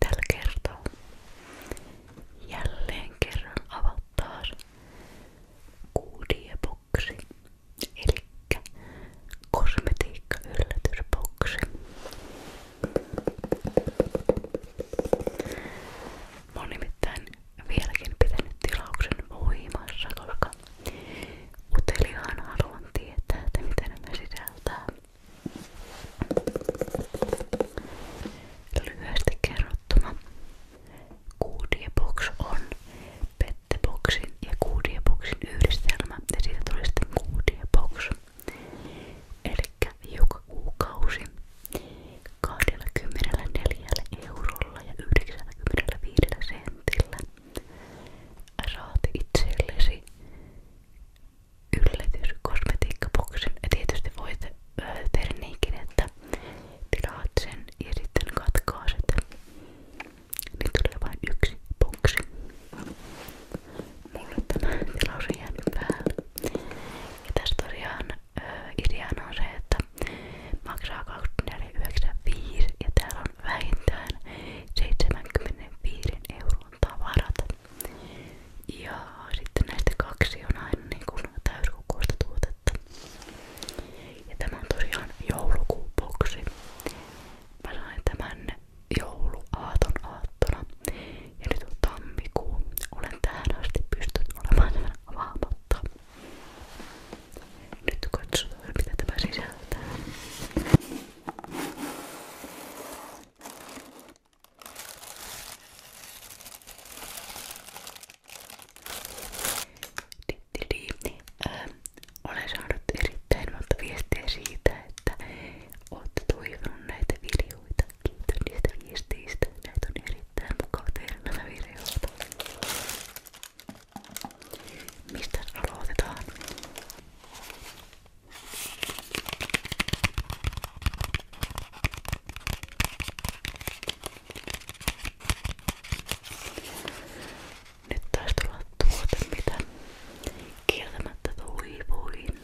tällä kertaa jälleen kerran avataan kuudioboksi elikkä kosmetiikka yllätysboksi Mä oon nimittäin vieläkin pitänyt tilauksen voimassa, koska uteliaan haluan tietää, että mitä nämä sisältää. Lyhyesti kerrottuna Goodiebox on Petteboxin ja Goodieboxin yhdistelmä ja siitä tuli sitten Goodiebox. Elikkä joka kuukausi 24 eurolla ja 95 sentillä saat itsellesi yllätyskosmetiikkaboksin. Ja tietysti voit öö, tehdä niinkin, että tilaat sen ja sitten katkaa sitä. Niin tulee vain yksi boksi. Mulle tämä tilaus on jäänyt päälle. Ja tässä tosiaan öö, ideana on se, että maksaa 24,95 ja täällä on vähintään 75 euron tavarat. Ja sitten näistä kaksi on aina niin täyskokoista tuotetta. Ja tämä on tosiaan joulukuuboksi. Mä sain tämän jouluaaton aattona. Ja nyt on tammikuu. Olen tähän asti pystynyt olemaan tämän avaamatta. Nyt katsotaan mitä tämä sisältää. Öö, olen saanut erittäin monta viestiä siitä, että olette toivonut näitä videoita. Kiitos niistä viesteistä. Näitä on erittäin mukava tehdä nämä videoita. Mistä aloitetaan? Nyt taisi tulla tuote, mitä kieltämättä toivoin.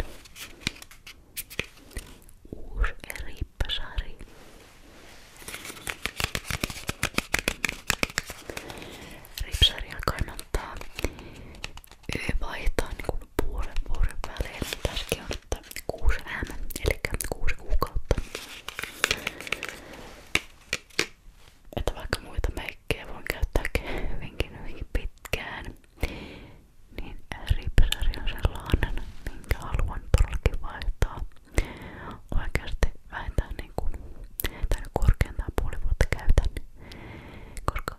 Uusi riippasari. Ripsaria kannattaa Y vaihtaa niin puolen vuoden välein. Tärkeää on, että 6 M, eli 6 kuukautta. Että vaikka muita meikkejä voin käyttää hyvinkin, hyvinkin pitkään, niin Ripsari on sellainen, minkä haluan todellakin vaihtaa. Oikeasti vähintään niin kuin, tai korkeintaan puoli vuotta käytän, koska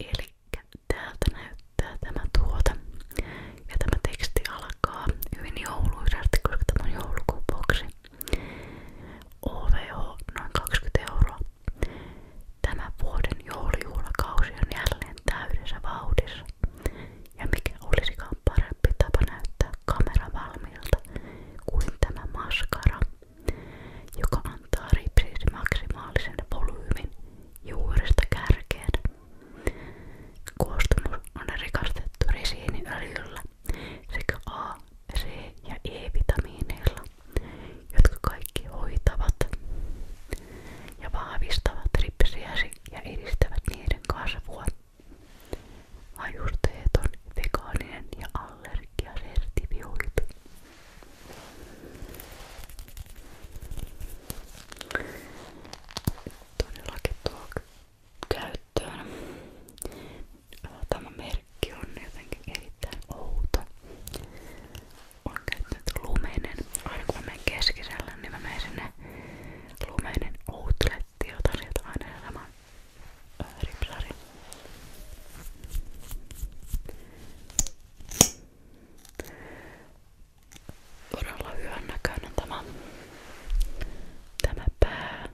Elikkä täältä tämä tuote. tämä teksti alkaa hyvin jouluisasti, koska tämä on joulukuun boksi. noin 20 euroa. Tämä vuoden joulujuhlakausi on jälleen täydessä vauhdissa. Ja mikä olisikaan parempi tapa näyttää kamera kuin tämä maskara joka antaa ripsille maksimaalisen volyymin juuresta kärkeen. Koostumus on rikastettu risiiniöljyllä sekä A, C ja E-vitamiineilla, jotka kaikki hoitavat ja vahvistavat ripsiäsi ja edistävät niiden kasvua. Hajusteet on vegaaninen ja allergiasertifioitu. Todellakin tuo käyttöön. Tämä merkki on jotenkin erittäin outo. On käyttänyt lumenen. Aina kun mä menen keskisellä, niin mä menen sinne lumenen outlettiin ja otan sieltä aina saman ripsarin. Todella hyvän näköinen tämä, tämä pää.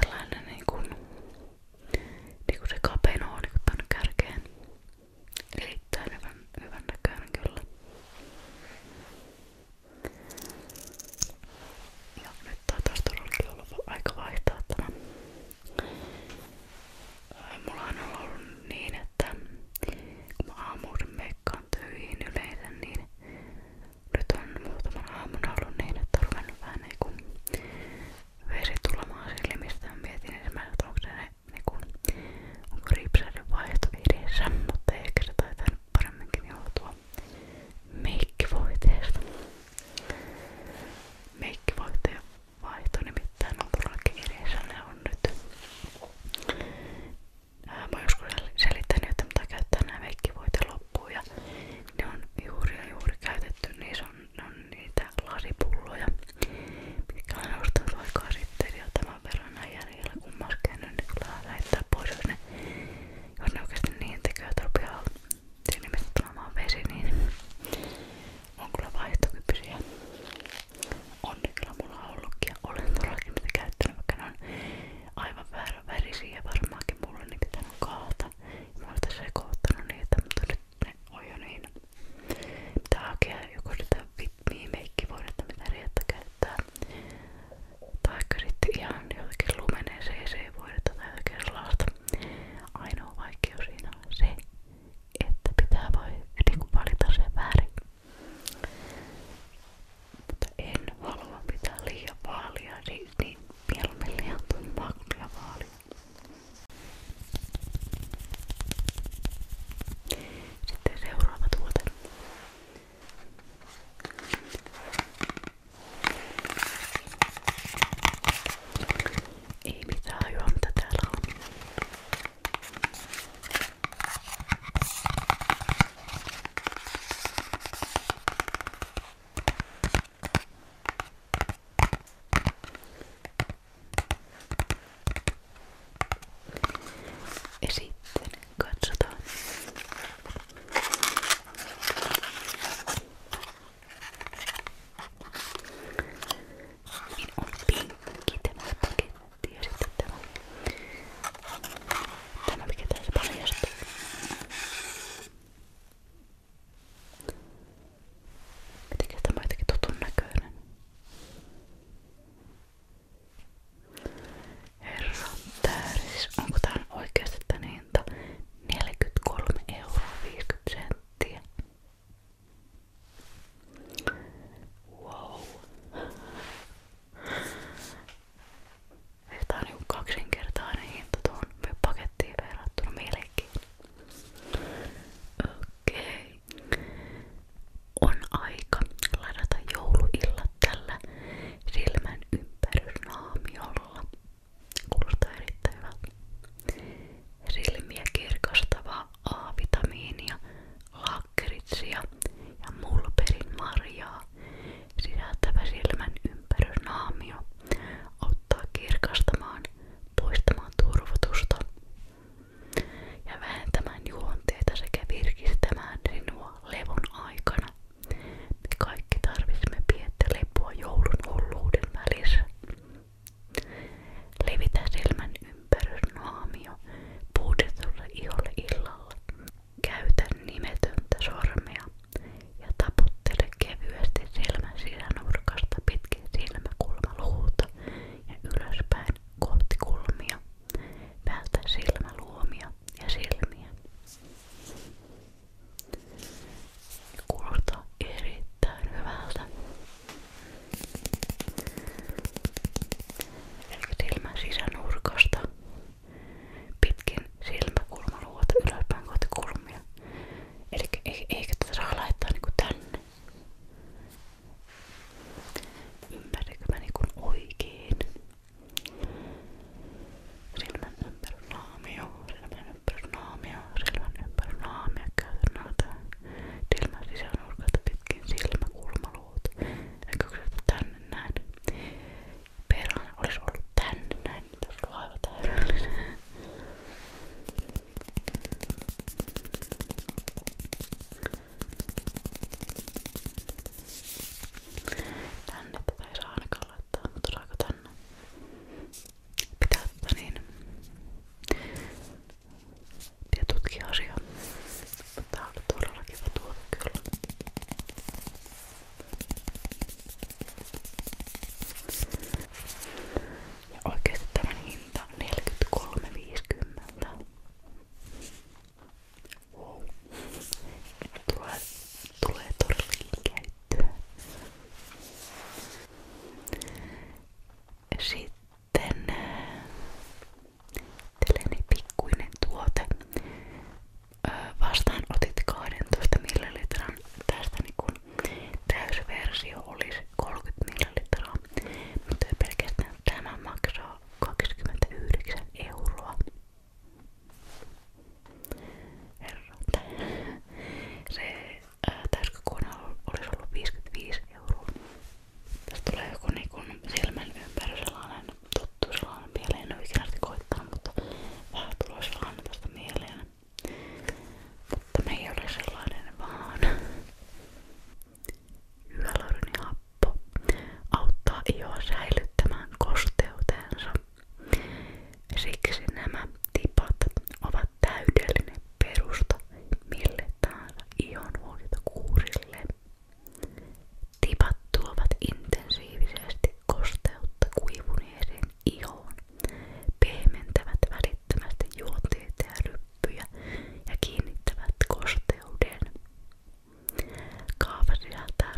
Tällainen niin kuin, niin kuin se kapein on niin tänne kärkeen. Erittäin hyvän, hyvän näköinen kyllä. Ja nyt taas todellakin ollut aika vaihtaa tämä. Mulla on ollut niin, että kun mä aamuuden meikkaan töihin yleensä, niin nyt on muutaman aamuna ollut niin, että on ruvennut vähän niinku vesi tulemaan silmistä. Mä mietin ensimmäisenä, että onko se ne, niinku, onko ripsaiden vaihto edessä, mutta eikä se taitaa paremminkin joutua. Mikki Voiteesta. Mikki Voiteen vaihto nimittäin on todellakin edessä. Ne on nyt. Ää, äh, mä joskus selittänyt, että mitä käyttää nämä Mikki Voite loppuun. Ja ne on juuri ja juuri käytetty. Niissä on, on niitä lasipulloja, mitkä olen ostanut aikaa sitten. Ja tämän verran näin jäljellä kun mä oon käynyt, niin kyllä lähettää pois, jos ne, jos ne oikeasti niin tekee, että rupeaa siinä missä tulemaan vesi, niin on kyllä vaihtokykyisiä. On ne kyllä mulla ollutkin ja olen todellakin mitä käyttänyt, vaikka ne on aivan väärän värisiä varmaankin mulle niin pitänyt kaata. Ja mä olen tässä sekoittanut niitä, mutta nyt ne on jo niin. Pitää hakea joko sitä Fit Me Make-voidetta, mitä Rietta käyttää tai sitten ihan jotenkin lumeneeseen seevoidetta tai jotakin sellaista. Ainoa vaikeus siinä on se, että pitää voi niin valita sen väärin. Mutta en halua pitää liian vaalia, niin, niin mieluummin liian tummaa kuin liian vaalia. Sitten seuraava tuote. Ei mitään hajua mitä täällä on. Ja sitten katsotaan niin on pinkki tämä paketti ja sitten tämä, tämä mikä tässä paljastuu. Mitenkäs tämä on jotenkin tutun näköinen? Herra, tää siis, onko tää oikeasti tän hinta? 43 euroa 50 senttiä. Wow. Tää on niinku kaksinkertainen hinta tuohon pakettiin verrattuna melkein. Okei. Okay. On aika ladata jouluillat tällä silmän ympärysnaamiolla. Kuulostaa erittäin hyvältä. Silmiä kirkastavaa A-vitamiinia, lakkeritsia ja mulperin marjaa sisältävä silmän ympärysnaamio auttaa kirkastamaan, poistamaan turvotusta ja vähentämään juonteita sekä virkistämään sinua levon aikana. Me kaikki tarvitsemme pientä lepoa joulun hulluuden välissä. Levitä silmän ympärys naamio puudetulle iholle illalla. Käytä nimetöntä sormea ja taputtele kevyesti silmän sisänurkasta pitkin silmäkulmaluuta ja ylöspäin kohti kulmia. Vältä silmäluomia ja silmiä. Kuulostaa erittäin hyvältä. Eli silmän sisänurkasta pitkin silmäkulmaluota ylöspäin kohti kulmia. Eli eikä tätä saa laittaa niinku tänne. Ymmärränkö mä niinku oikein? Silmän ympärysnaamio, silmän ympärysnaamio, silmän ympärysnaamio. Käytän noita silmän sisänurkalta pitkin silmäkulmaluut. Eikö käytä tänne näin? Perään olisi ollut tänne näin, mutta olisi ollut aivan täydellinen. Tänne tätä ei saa ainakaan laittaa, mutta tuleeko tänne? Pitää ottaa niin. Pitää tutkia asiaa. Tää oli todella kiva tuote kyllä. Ja oikeesti tämän hinta on 43,50. Wow. Tulee, tulee todellakin käyttöön. Sitten äh, tällainen niin pikkuinen tuote. Vastaan otit 12 millilitran. Tästä niin täysversio olisi 30 millilitraa, mutta pelkästään tämä maksaa 29 euroa. Herra. Se täyskökuona olisi ollut 55 euroa. Tästä tulee joku niin silmän ympäri sellainen tuttu sellainen mieleen. En ole ikinä koittaa, mutta vähän tulee sellainen ei ole säilyttämään kosteutensa. Siksi nämä tipat ovat täydellinen perusta mille tahansa ihonhuoltokuurille. Tipat tuovat intensiivisesti kosteutta kuivuneeseen ihoon, pehmentävät välittömästi juonteita ja ryppyjä ja kiinnittävät kosteuden. Kaava sisältää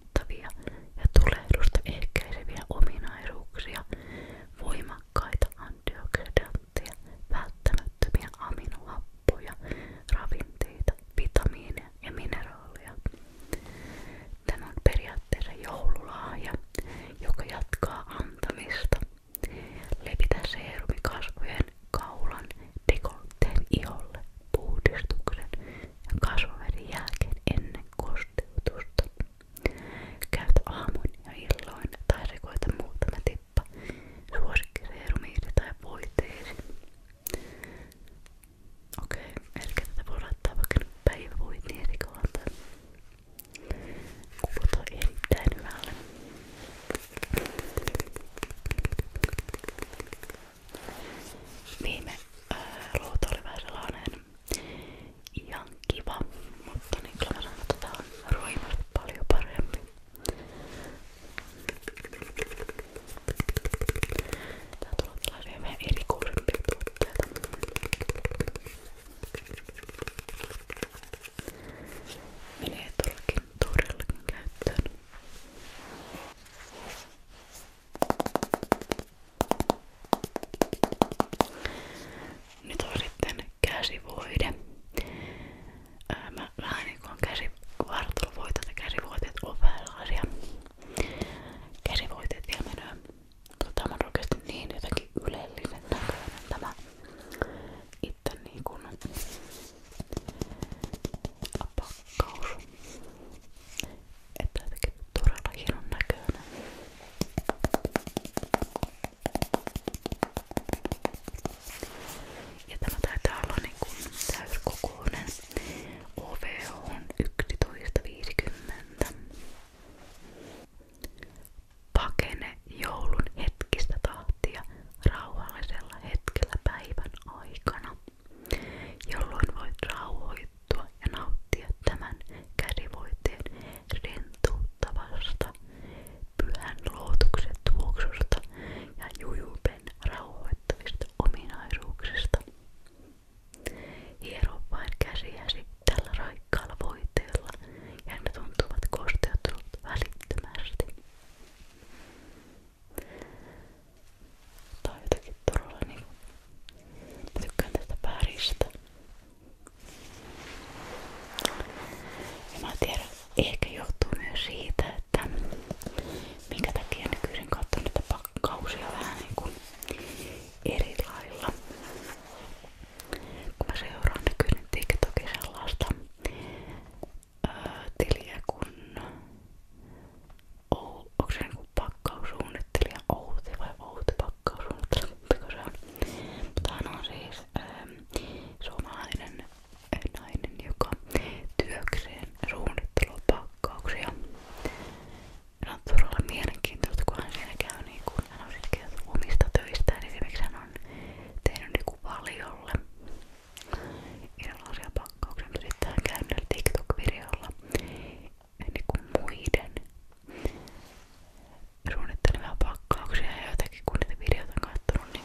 rauhoittavia ja tulehdusta ehkäiseviä ominaisuuksia, voimakkaita antioksidantteja, välttämättömiä aminohappoja, ravinteita, vitamiineja ja mineraaleja. Tämä on periaatteessa joululahja, joka jatkaa antamista. Levitä seerumi kasvojen, kaulan, dekolteen iholle, puhdistuksen ja kasvoverin jälkeen ennen kosteutusta. Käytä aamuin ja illoin tai rikoita muutama tippa suosikkiseerumiisi tai voiteesi. Okei, okay, eli tätä voi laittaa vaikka nyt päivävoiteesi kohdalta. Kuulostaa erittäin hyvälle. Viime ää, äh, ruutu oli vähän sellainen ihan kiva, mutta niin kyllä mä sanon, että tää on Roimer paljon parempi. Tää tulee tällaisia vähän erikoisempia tuotteita. Menee todellakin todellakin käyttöön. Nyt on sitten käsivoide. Ää, mä vähän niin kuin käsivartalovoiteet ja käsivoiteet on vähän sellaisia. Käsivoiteet vielä menee. Tota, tämä on oikeasti niin jotenkin ylellinen näköinen tämä itse niin kuin pakkaus. Että jotenkin todella hienon näköinen. Ja tämä taitaa olla niinku täyskokoinen. OV on 11.50. Pakene joulun hetkistä tahtia rauhallisella hetkellä päivän aikana, jolloin voit rauhoittua vittua ja nauttia tämän käsivoiteen rentouttavasta pyhän luotuksen tuoksusta ja jujupen rauhoittavista ominaisuuksista. Hiero vain käsiäsi tällä raikkaalla voiteella ja ne tuntuvat kosteutunut välittömästi tai jotenkin todella niinku mä tykkään tästä päristä ja mä tiedän, ehkä johtuu myös siitä, että minkä takia nykyisin katson niitä pakkausia vähän niinku eri lailla kun mä seuraan nykyinen tiktokin sellaista öö, tiliä kun o, onko se niin pakkaussuunnittelija Outi vai Outi pakkaussuunnittelija, mutta se on. Mutta hän on siis ähm, suomalainen nainen, joka työkseen suunnittelupakkauksia. Hän on todella mielenkiintoista, kun hän siellä käy niin kun hän on siis omista töistään. Esimerkiksi hän on tehnyt niin valiolle erilaisia pakkauksia, mutta sitten hän käy TikTok-videolla niin kuin muiden suunnittelemia pakkauksia ja jotakin kun niitä videoita on kattonut, niin,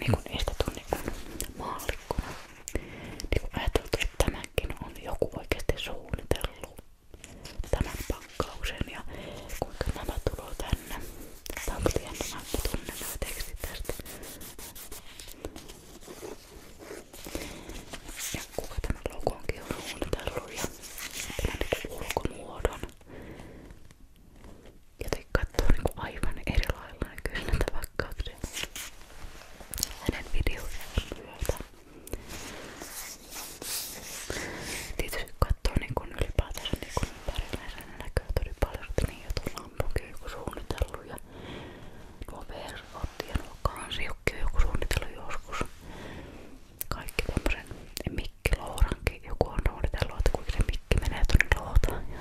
niin kuin niistä tuli niin maallikkona. Niin kuin ajateltu, että tämäkin on joku oikeasti suunnitellut tämän pakkauksen ja kuinka nämä tulee tänne. Tää on jännä, mä tunnen nämä tekstit tästä. Ja kuka tämä logo on keuruuntellut ja tämän ulkomuodon. Joten katsoo niinku aivan eri lailla kyllä tavakkauksen hänen videoidensa myötä. Tietysti katsoo niinku ylipäätänsä niinku ympärilleen sen näköä tuli paljon, että niin jotain ampukin joku niinku suunnitellut ja Tuo VR otti ja nuo kansiukki on joku suunnitellut joskus. Kaikki tommosen mikki lourankin. Joku on suunnitellut, että kuinka se mikki menee tuonne loutaan. Ja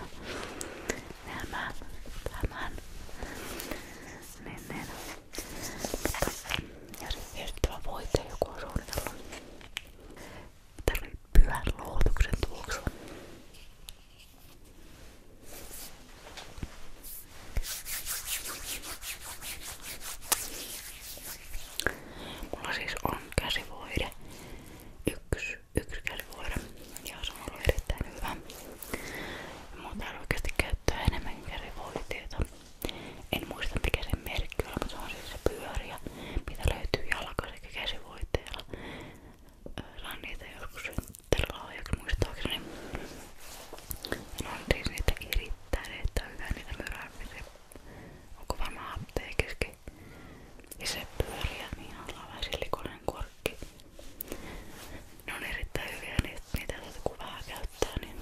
hämään, hämään. Niin, niin. Mutta, ja sit viettävä voite joku on suunnitellut. Tää oli pyhän loutuksen tuoksu. Mulla siis on käsivoide. Yksi, yksi käsivoide. Ja se on ollut erittäin hyvä. Mun täällä oikeasti käyttää enemmän käsivoiteita. En muista mikä sen merkki on, mutta se on siis se pyöriä, mitä löytyy jalka sekä käsivoiteilla. Öö, Saan niitä joskus terralahjakin muistaakseni. Ne on siis niitä irittäneet tai hyvää niitä myrää, onko varmaan apteekiskin. Ja se on niin vähän silikoinen korkki. Ne on niin niitä, niitä kun vähän käyttää, niin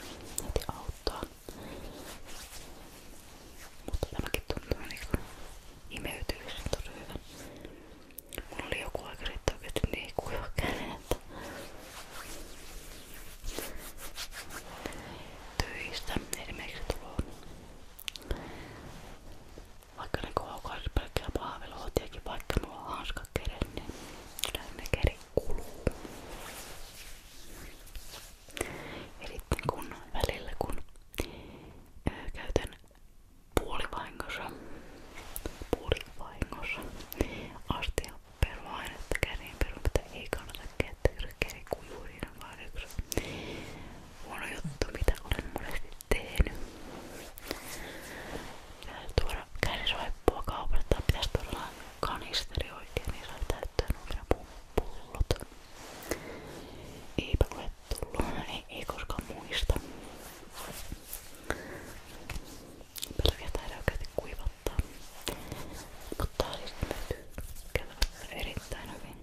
Mutta tämäkin tuntuu niinku imeytyvisen tosi hyvä. Mulla oli joku aika sitten töistä esimerkiksi tullut vaikka ne kohokaisi pelkkää pahveluotiakin, vaikka mulla on hanska keren, niin kyllä ne keri kuluu. Eli kun välillä kun ää, käytän puolivahingossa, puolivahingossa astia perua ainetta kärin perua, mitä ei kannata käyttää kärikuivurin vaan yksi huono juttu, mitä olen monesti tehnyt. Pitäisi tuoda kärisaippua kaupasta, pitäisi tuoda kanisteri oikein, niin saa täyttää nuo pullot. Eipä ole tullut, ei, ei koskaan muista. Pelviä täällä oikeasti kuivattaa. Mutta tää oli sitten erittäin hyvin.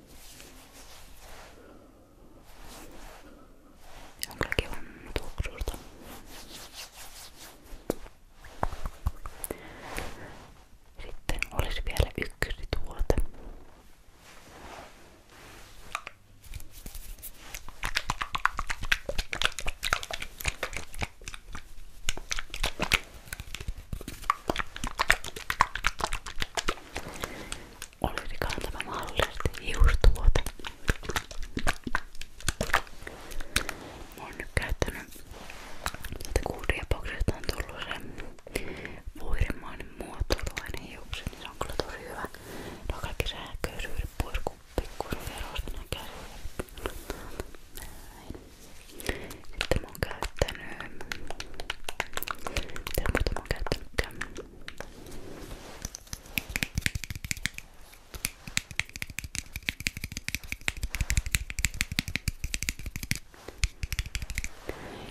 On kyllä kivan tuoksuista. Sitten olisi vielä ykkösituote. Olisikaan tämä mahdollisesti hiustuote. Mä oon nyt käyttänyt tätä kuuria boksesta on tullut se vuirimainen muotoiluainen hiukset, niin se on kyllä tosi hyvä. No kaikki sähköisyydet pois kun pikkuruverosta näkään. Näin. Sitten mä oon käyttänyt... Mitä muuta mä oon käyttänytkään?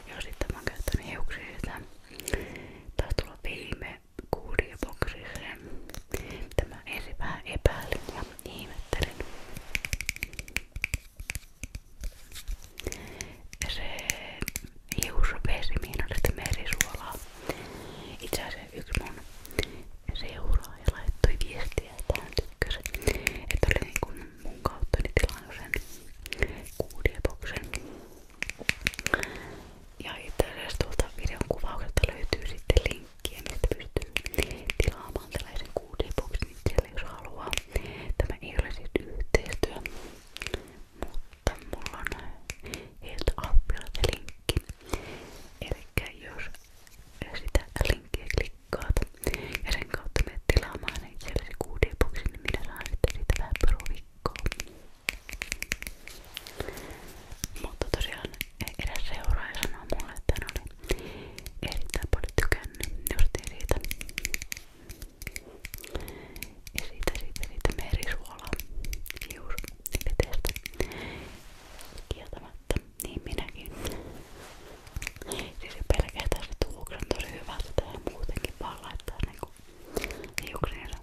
Ja sitten mä oon käyttänyt hiuksia sitä. Taisi tulla viime kuurioboksiseen, mitä mä ensin vähän epäilin ja ihmettelin. Se hiusvesi, mihin oli sitä merisuolaa. Itse asiassa yksi mun seuraaja laittoi viestiä, että hän tykkäsi, että oli niin kuin mun kautta niin tilannut sen kuudieboksen. Ja itse asiassa tuolta videon kuvauksesta löytyy sitten linkki Kiemistä pystyy tilaamaan tällaisen QD-boksin itselle, jos haluaa. Tämä ei ole siis yhteistyö, mutta mulla on heiltä appilta linkki. Elikkä jos sitä linkkiä klikkaat ja sen kautta menet tilaamaan itsellesi QD-boksin, niin minä saan sitten siitä vähän peruvikkoa. Mutta tosiaan edes seuraaja sanoo mulle, että hän oli erittäin paljon tykännyt niin justiin siitä. Ja siitä, siitä, siitä merisuola hiusvedestä. Kieltämättä, niin minäkin. Siis pelkästään se tuoksu on tosi hyvä, että muutenkin vaan laittaa niinku hiuksiinsa.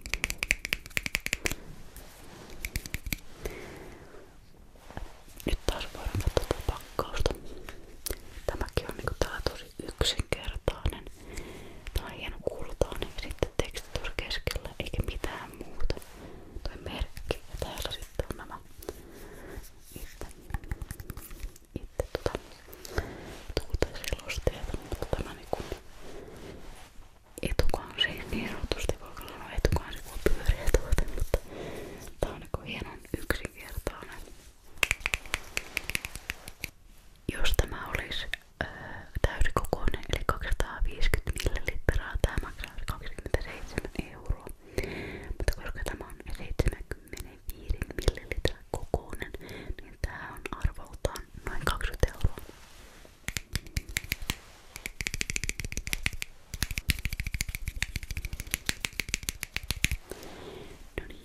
Nyt taas voidaan katsoa tätä pakkausta. Tämäkin on niinku täällä tosi yksinkertainen. Tää on hieno kultainen ja sitten tekstitus keskellä eikä mitään muuta. Toi merkki ja täällä sitten on nämä itse, itse tota, tuuteselosteet, mutta tämä niinku etukansi, niin sanotusti voiko sanoa etukansi, kun on pyöreä tuote, mutta tää on niinku hienon yksinkertainen. Jos tämä olisi ää, äh, täysikokoinen, eli 250 millilitraa, tämä maksaisi 27 euroa. Mutta koska tämä on 75 millilitran kokoinen, niin tää on arvoltaan noin 20 euroa. No niin.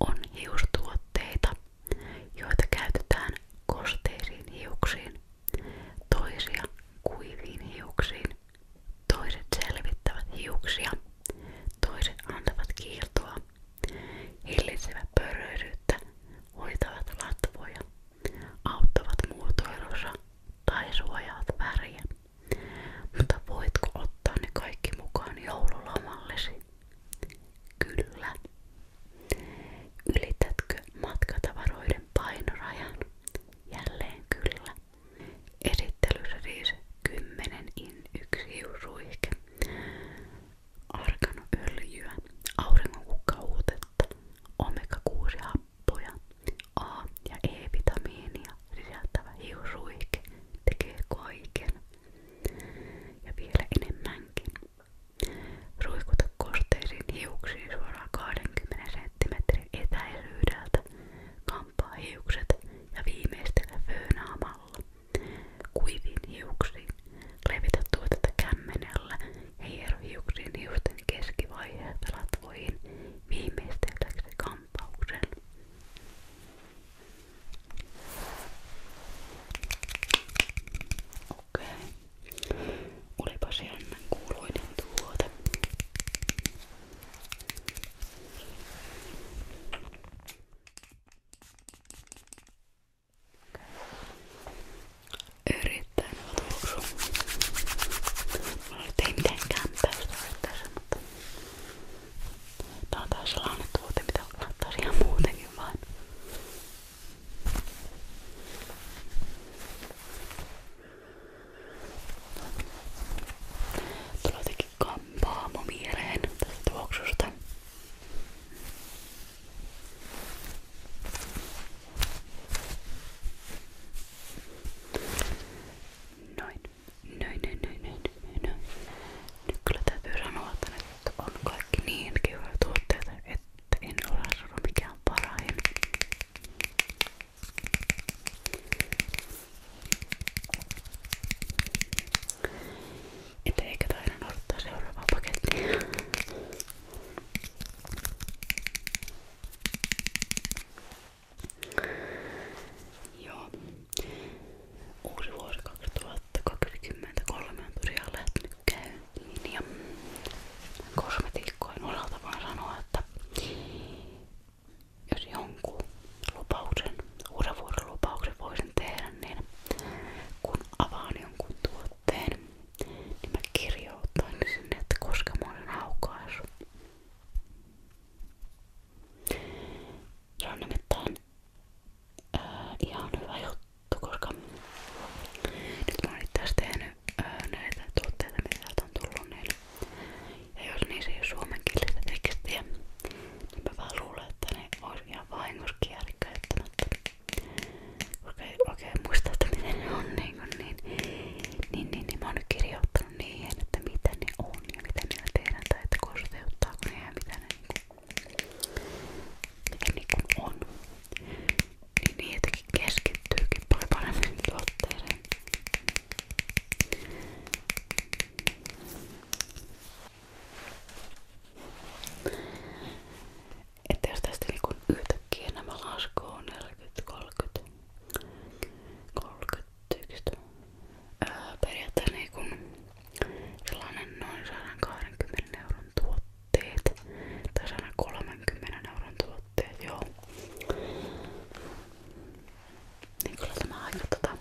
On hiustuotteita, joita käytetään kosteisiin hiuksiin, toisia kuiviin hiuksiin. Toiset selvittävät hiuksia, toiset antavat kiiltoa, hillitsevät pörröisyyttä, hoitavat latvoja auttavat muotoilussa tai suojaat väriä. Mutta voitko ottaa ne kaikki mukaan joululomallesi? Kyllä. Ylitätkö matkatavaroiden painorajan? Jälleen kyllä. Esittelyssä siis 10 in 1 hiusruihke arganoöljyä, auringonkukkauutetta, omega-6-happoja, A- ja E-vitamiinia sisältävä hiusruike tekee kaiken. Ja vielä enemmänkin. Ruikuta kosteisiin hiuksiin suoraan 20 cm etäisyydeltä, kampaa hiukset ja viimeistellä föönaamalla. Kuiviin hiuksiin Levitä tuotetta kämmenellä ja hiero hiuksiin hiusten keskivaiheelta latvoihin viimeistelläksi kampauksen. Okei. Okay. Olipas jännän kuuluinen tuote. Erittäin hyvä tuoksu. Mulla nyt ei mitenkään täystä yrittäessä, mutta tää on taas sellainen tuote, mitä kannattaa ihan muutenkin vaan. Tulee jotenkin kampaamo mieleen tästä tuoksusta. Noin. Noin, noin, noin, noin, noin. Nyt kyllä täytyy sanoa, että nyt on kaikki niin kivoja tuotteita, että en ole sanonut mikään parahin. Että eikä taida odottaa seuraavaa pakettia. Joo. Uusi vuosi 2023 on tosiaan lähtenyt käyntiin ja kosmetiikkojen osalta vaan sanoa, että jos jonkun lupauksen, uuden vuoden lupauksen voisin tehdä, niin kun avaan jonkun tuotteen niin mä kirjoitan sinne, että koska mä olen aukaissut. Se on nimittäin ää, äh, ihan hyvä juttu, koska nyt mä oon itse tehnyt ää, äh, näitä tuotteita, mitä täältä on tullut niille. Ja jos niissä ei ole niin suomenkielistä tekstiä, niin mä vaan luulen, että ne olisi ihan vahingossa kierikkäyttämättä. Okei, okei, muista, että miten ne on niin kuin niin. Niin, niin, niin mä oon nyt kirjoittanut niihin, että mitä ne on ja mitä niillä tehdään tai että kosteuttaako ne ja mitä ne niinku, mitä niinku on. Niin niin jotenkin keskittyykin paljon paremmin tuotteeseen. Että jos tästä niin yhtäkkiä nämä laskoo 40, 30, 31, ää, periaatteessa niin kun sellainen noin 120 euron tuotteet tai 130 euron tuotteet, joo. Niin kyllä tämä aika tota,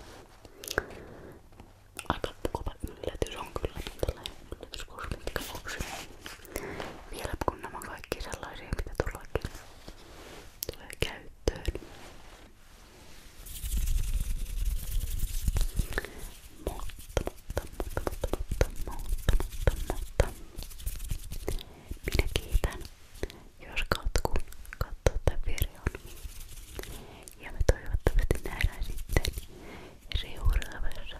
aika kova yllätys on kyllä tällainen yllätys kosmetiikaboksi. Vielä kun nämä kaikki sellaisia, mitä tullakin tulee käyttöön. Mutta, mutta, mutta, mutta, mutta, mutta, mutta, minä kiitän, jos katkun katsoo tämän videon. Ja me toivottavasti nähdään sitten seuraavassa